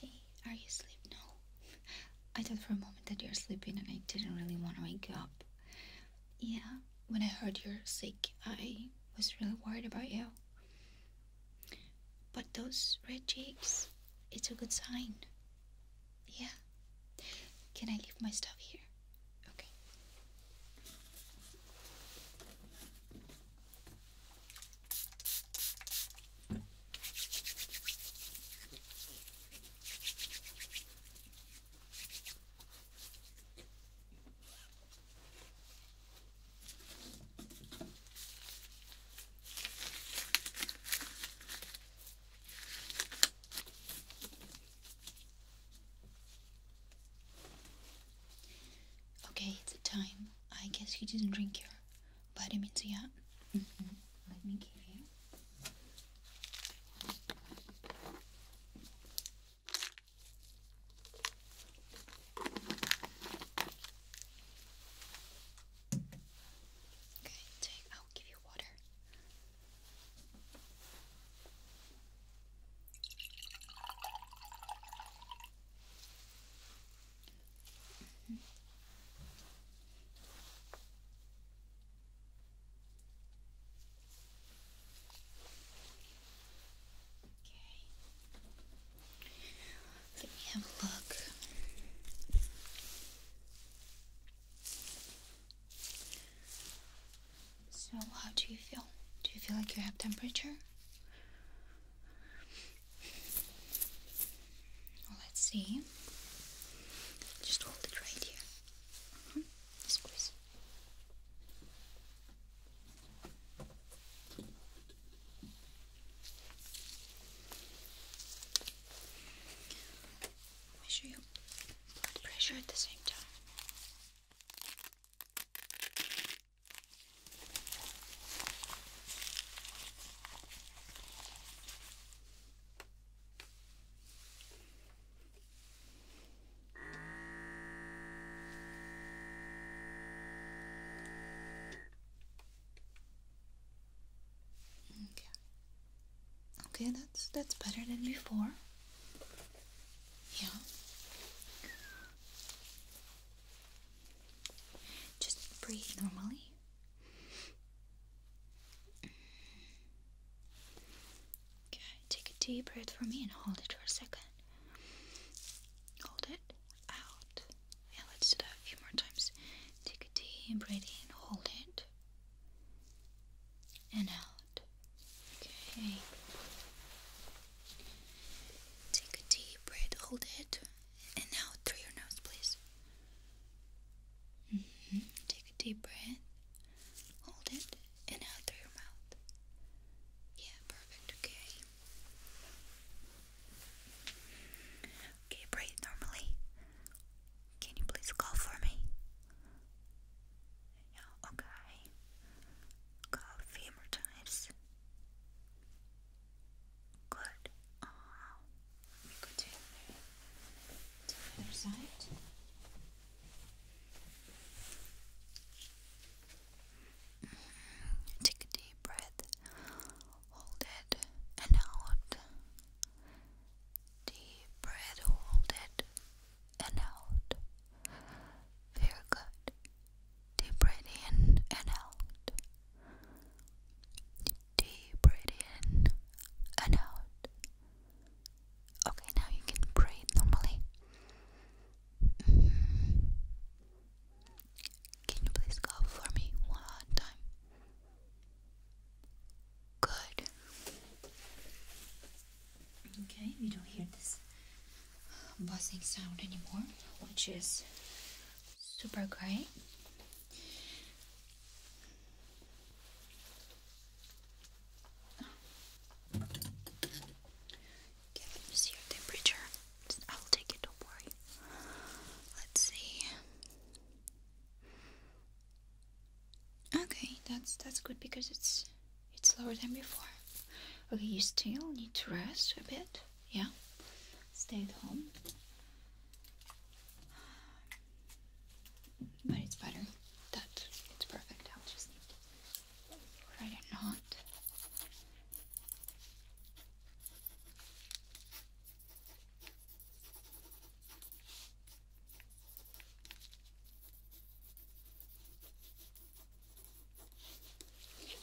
Hey, are you asleep? No. I thought for a moment that you're sleeping and I didn't really want to wake you up. Yeah, when I heard you're sick, I was really worried about you. But those red cheeks, it's a good sign. Yeah. Can I leave my stuff here? Okay. Okay, it's a time. I guess you didn't drink your vitamins yeah mm -hmm. Okay, take I'll give you water. Let me have a look. So, how do you feel? Do you feel like you have temperature? Oh, let's see. Just hold it right here. Mm -hmm. Squeeze. Measure your blood pressure at the same time. Okay, that's that's better than before. Yeah. Just breathe normally. Okay, take a deep breath for me and hold it for a second. Hold it out. Yeah, let's do that a few more times. Take a deep breath in, hold it, and out. Okay. Take a deep breath, hold it, and now through your nose, please. Mm-hmm. Take a deep breath. Hold it. And out through your mouth. Yeah, perfect. Okay. Okay, breathe normally. Can you please call for me? Yeah, okay. Call a few more times. Good. Uh, let me go to the other side. Mm-hmm. Take a deep breath. Hold it and out. Deep breath. Hold it and out. Very good. Deep breath in and out. Deep breath in and out. Okay, now you can breathe normally. Mm-hmm. Can you please go for me one time? Good. Okay, we don't hear this buzzing sound anymore, which is super great. Can you your temperature? I'll take it, don't worry. Let's see. Okay, that's that's good because it's it's lower than before. Okay, you still need to rest a bit yeah, stay at home. But it's better that it's perfect. I'll just write a knot. Okay.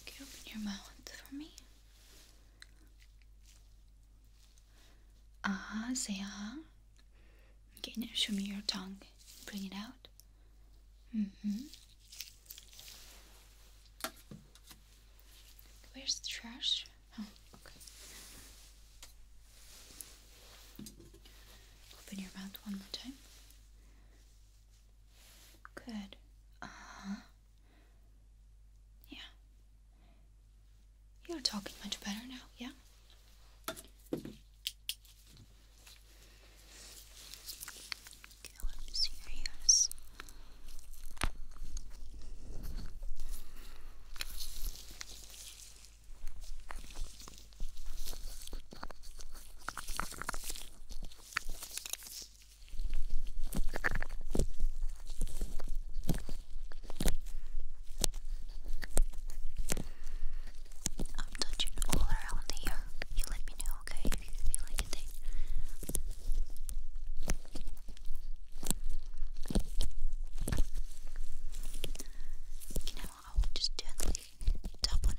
Okay, open your mouth for me. Ah, say ah. Okay, now show me your tongue. Bring it out. Mm-hmm. Where's the trash? Oh, okay. Open your mouth one more time. Good. Uh Yeah. You're talking much better now, yeah? Okay, let me see your ears. I'm touching all around here. You let me know, okay, if you feel anything. I will just gently tap on it.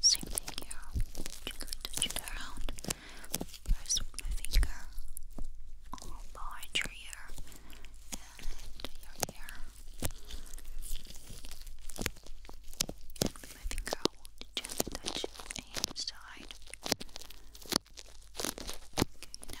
Same thing here. Gently touch it around. First with my finger behind your ear and your ear. And with my finger I will gently touch the inside. Okay,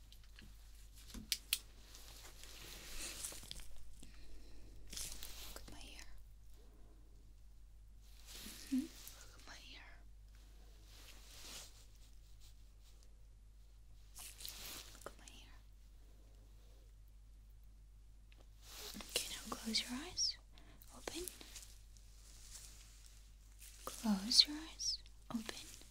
Look at my ear. Hmm? Look at my ear. Look at my ear. Okay, now close your eyes. Open. Close your eyes. Open.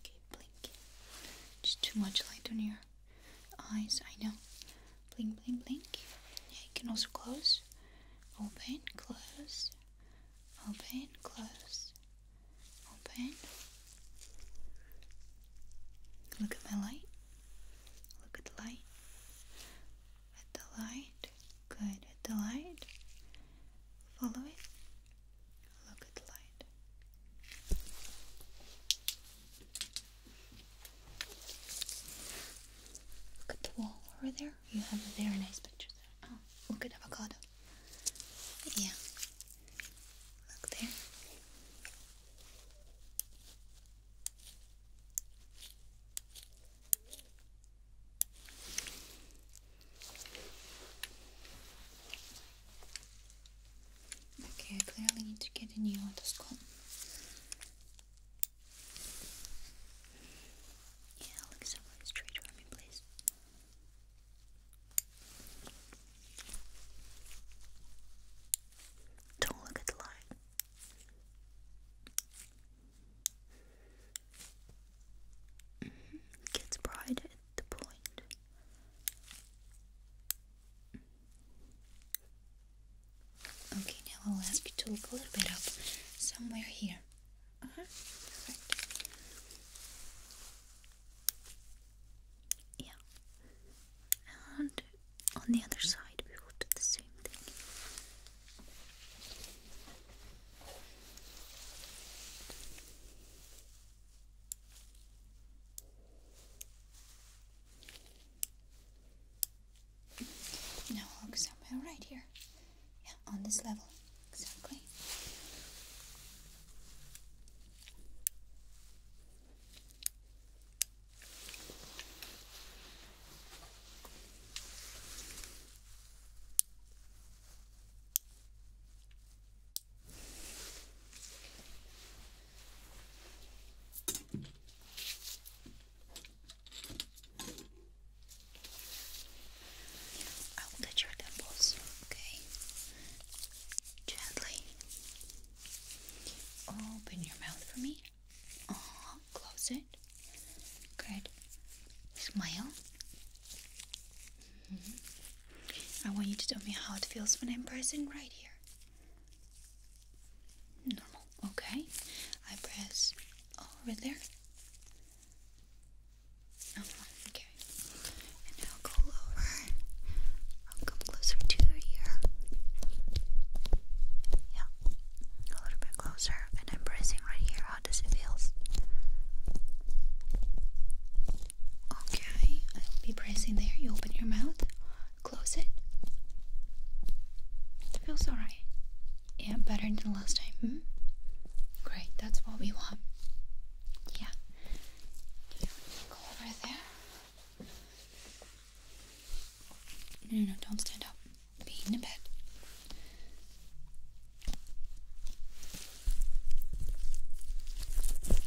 Okay, blink. Just too much light on your eyes, I know. Blink, blink, blink. Yeah, you can also close. Open, close. Open, close. Open. Look at my light. Look at the light. At the light. Good. At the light. Follow it. Look at the light. Look at the wall over there. You have a very nice picture there. Oh, look at avocado. Yeah. Look there. Okay, I clearly need to get a new otoscope. Yeah, look someone straight for me, please. Don't look at the light. Mm-hmm. Gets bright at the point. Okay, now I'll ask you to look a little bit up somewhere here. Uh huh. Perfect. Yeah. And on the other side, we will do the same thing. Now look somewhere right here. Yeah, on this level. Exactly. I will touch your temples, okay? Gently. Open your mouth for me. Uh-huh. close it. Good. Smile. Mm-hmm. I want you to tell me how it feels when I'm pressing right here. Normal. Okay. I press over there. Uh-huh. Okay. And I'll go over. I'll come closer to your ear. Yeah, a little bit closer. And I'm pressing right here. How does it feel? Okay, I'll be pressing there. You open your mouth, close it. It feels alright. Yeah, better than the last time. Hmm? Great, that's what we want. Yeah. Go over there. No, no, no, don't stand up. Be in the bed. Okay.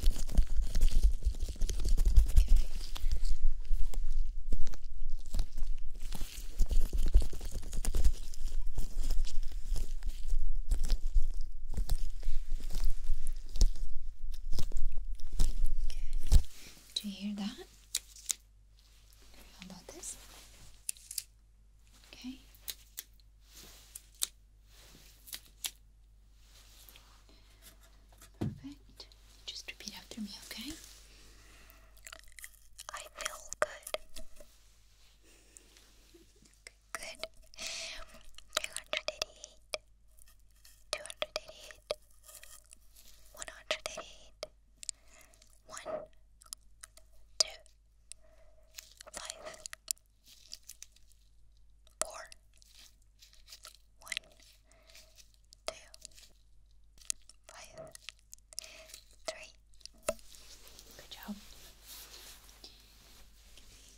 Do you hear that? How about this? Okay. Perfect. Just repeat after me, okay? I feel good. Good. 288 two hundred eighty-eight, one hundred eighty-eight, one, two, five, four, one, two, five, three. Good job.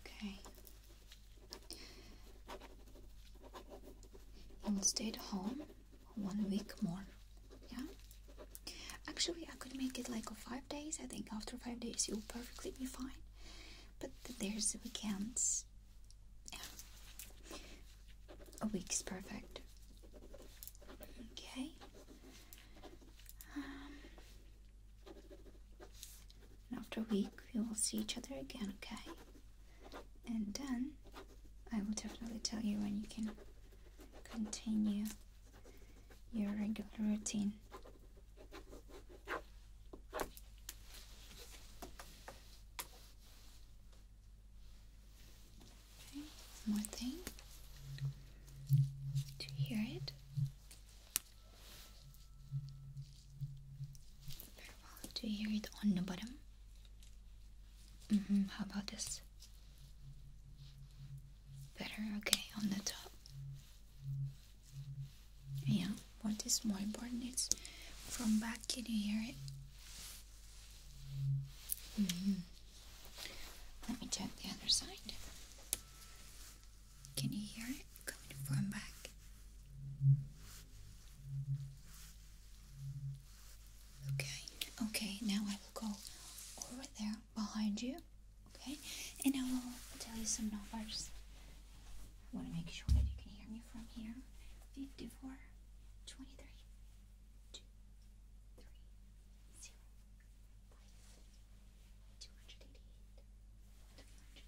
Okay. You'll stay at home one week more. Yeah? Actually, I could make it like five days. I think after five days, you'll perfectly be fine. But there's the weekends. A week's perfect. Okay. Um, after a week, we will see each other again, okay? And then I will definitely tell you when you can continue your regular routine. Okay, one more thing. Do you hear it? Very well. Do you hear it on the bottom? Mm hmm How about this? Better, okay, on the top. Yeah, what is more important It's from back, can you hear it? Mm-hmm. Let me check the other side. Can you hear it coming from back? Okay, okay, now I will go over there behind you, okay? And I will tell you some numbers. I want to make sure that you can hear me from here. 54, 23, eighty-eight, two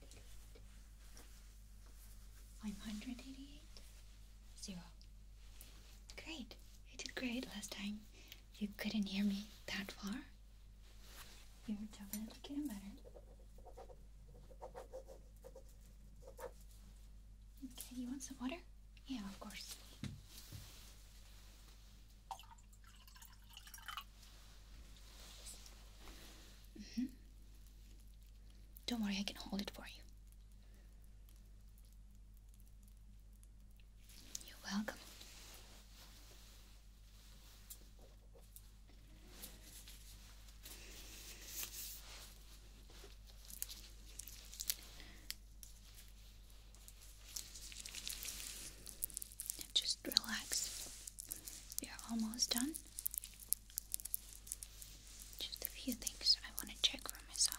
hundred eighty-eight, one hundred eighty-eight, zero. Great, you did great last time. You couldn't hear me that far. You're definitely getting better. Okay, you want some water? Yeah, of course. Mm-hmm. Don't worry, I can hold it for you. You're welcome just relax. We are almost done. Just a few things I want to check for myself.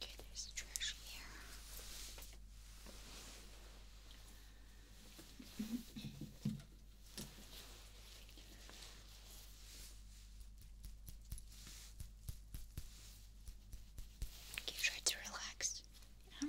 Okay, there's trash here. You tried to relax. Yeah.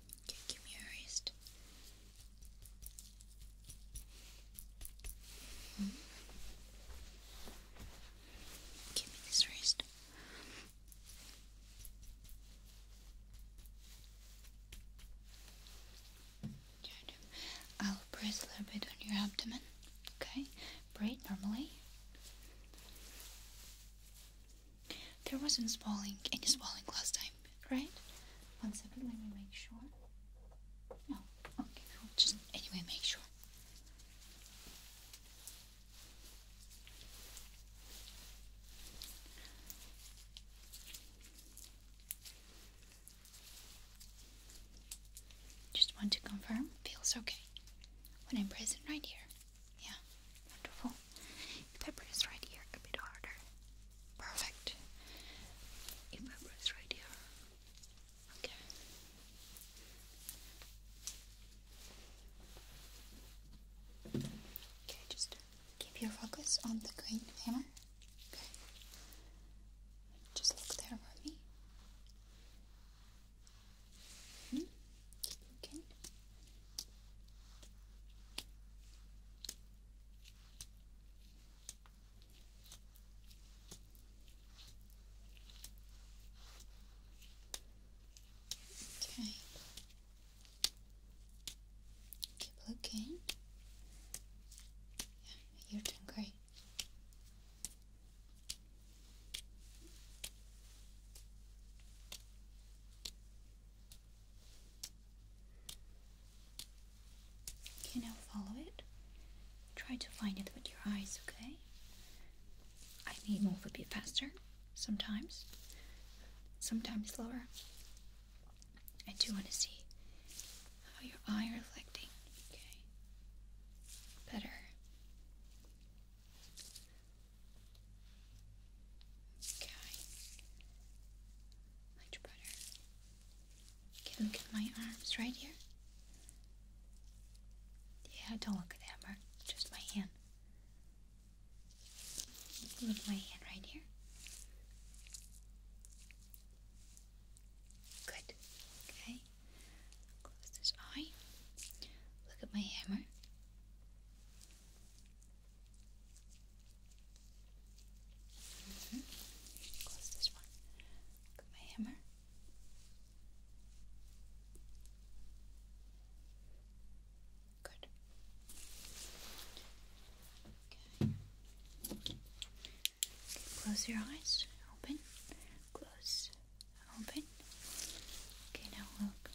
give me your wrist. Mm-hmm. Give me this wrist. I'll press a little bit on your abdomen. Okay, breathe normally. There wasn't swelling, any swelling last time bit, right? One second, let me make sure. No, okay, Just anyway, make sure. Just want to confirm, feels okay when I'm present right here. Yeah, wonderful. Pepper is right here a bit harder. Perfect. It peppers right here. Okay. Okay, just keep your focus on the green hammer. Okay. Just look there for me. -hmm. Keep Okay. Keep looking. Yeah, you're doing great. Can I follow it. Try to find it with your eyes, okay? I may move a bit faster sometimes, sometimes slower. I do want to see how your eye reflecting, okay? Better. Okay. Much better. Okay, look at my arms right here. Yeah, don't look at the hammer, just my hand. Look at my hand right here. Good. Okay. Close this eye. Look at my hammer. Close this one. Got my hammer. Good. okay. Close your eyes. Open. Close. Open. Okay, now look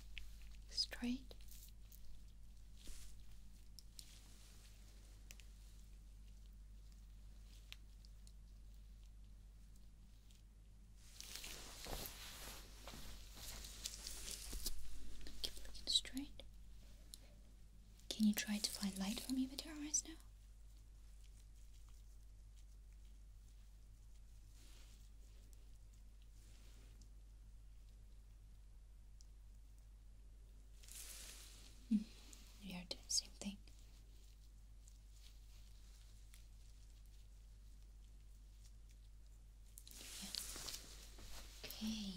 straight. Keep looking straight. Can you try to find light for me with your eyes now? Mm. We are doing the same thing. Okay.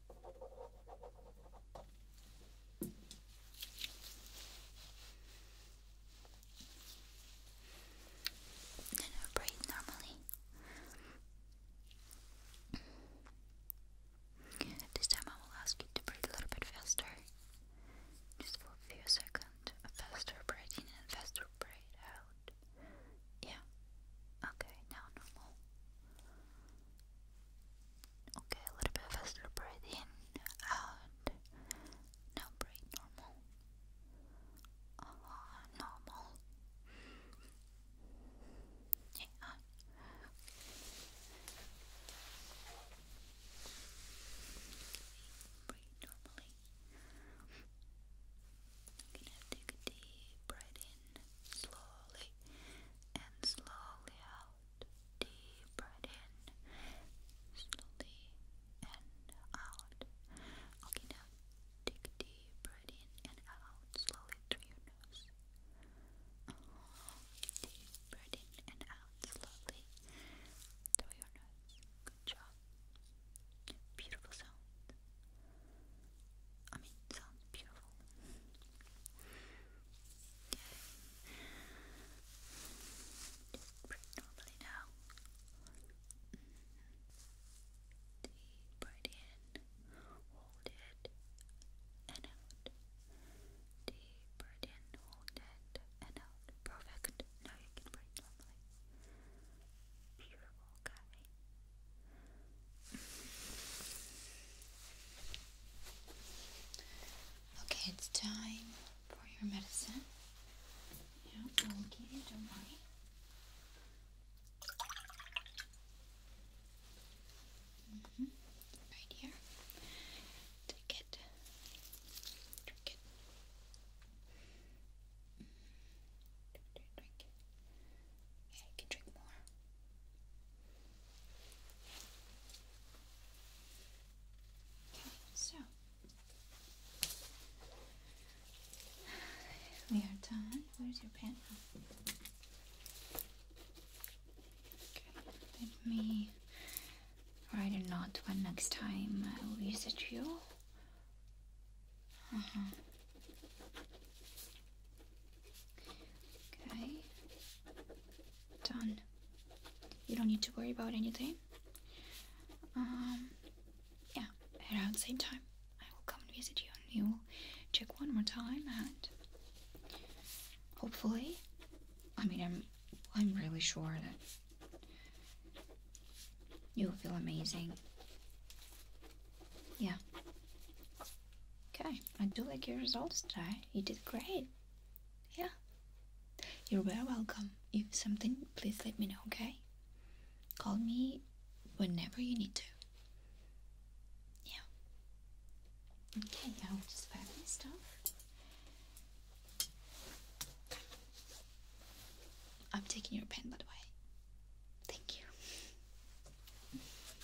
Then I breathe normally. This time I will ask you to breathe a little bit faster. Just for a few seconds. A faster breath in and faster breath out. Yeah. Okay, now normal. Okay, a little bit faster. Breathe in, out. Now breathe normal. Uh-huh, normal. Yeah. Breathe normally. I'm take a deep breath in slowly and slowly out. Deep breath in, slowly and out. Okay, now take deep breath in and out slowly through your nose. deep breath in and out slowly through your nose. Good job. Beautiful sound. I mean, sounds beautiful. Just breathe normally now. Deep breath in, hold it, and out. Deep breath in, hold it, and out. Perfect. Now you can breathe normally. Beautiful, guys. Okay, it's time for your medicine. Yeah, I will give you, don't worry. Mm-hmm, right here. Take mm-hmm, it. Drink it. Yeah, you can drink more so we are done. Where's your pen? Oh. Okay, let me write a note when next time I will visit you. Uh huh. Okay. Done. You don't need to worry about anything. Um, yeah, around the same time, I will come and visit you and you will check one more time and hopefully, I mean, I'm, I'm really sure that you'll feel amazing. Yeah. Okay, I do like your results today. You did great. Yeah. You're very welcome. If something, please let me know, okay? Call me whenever you need to. Yeah. Okay, I'll just grab my stuff. I'm taking your pen, by the way. Thank you.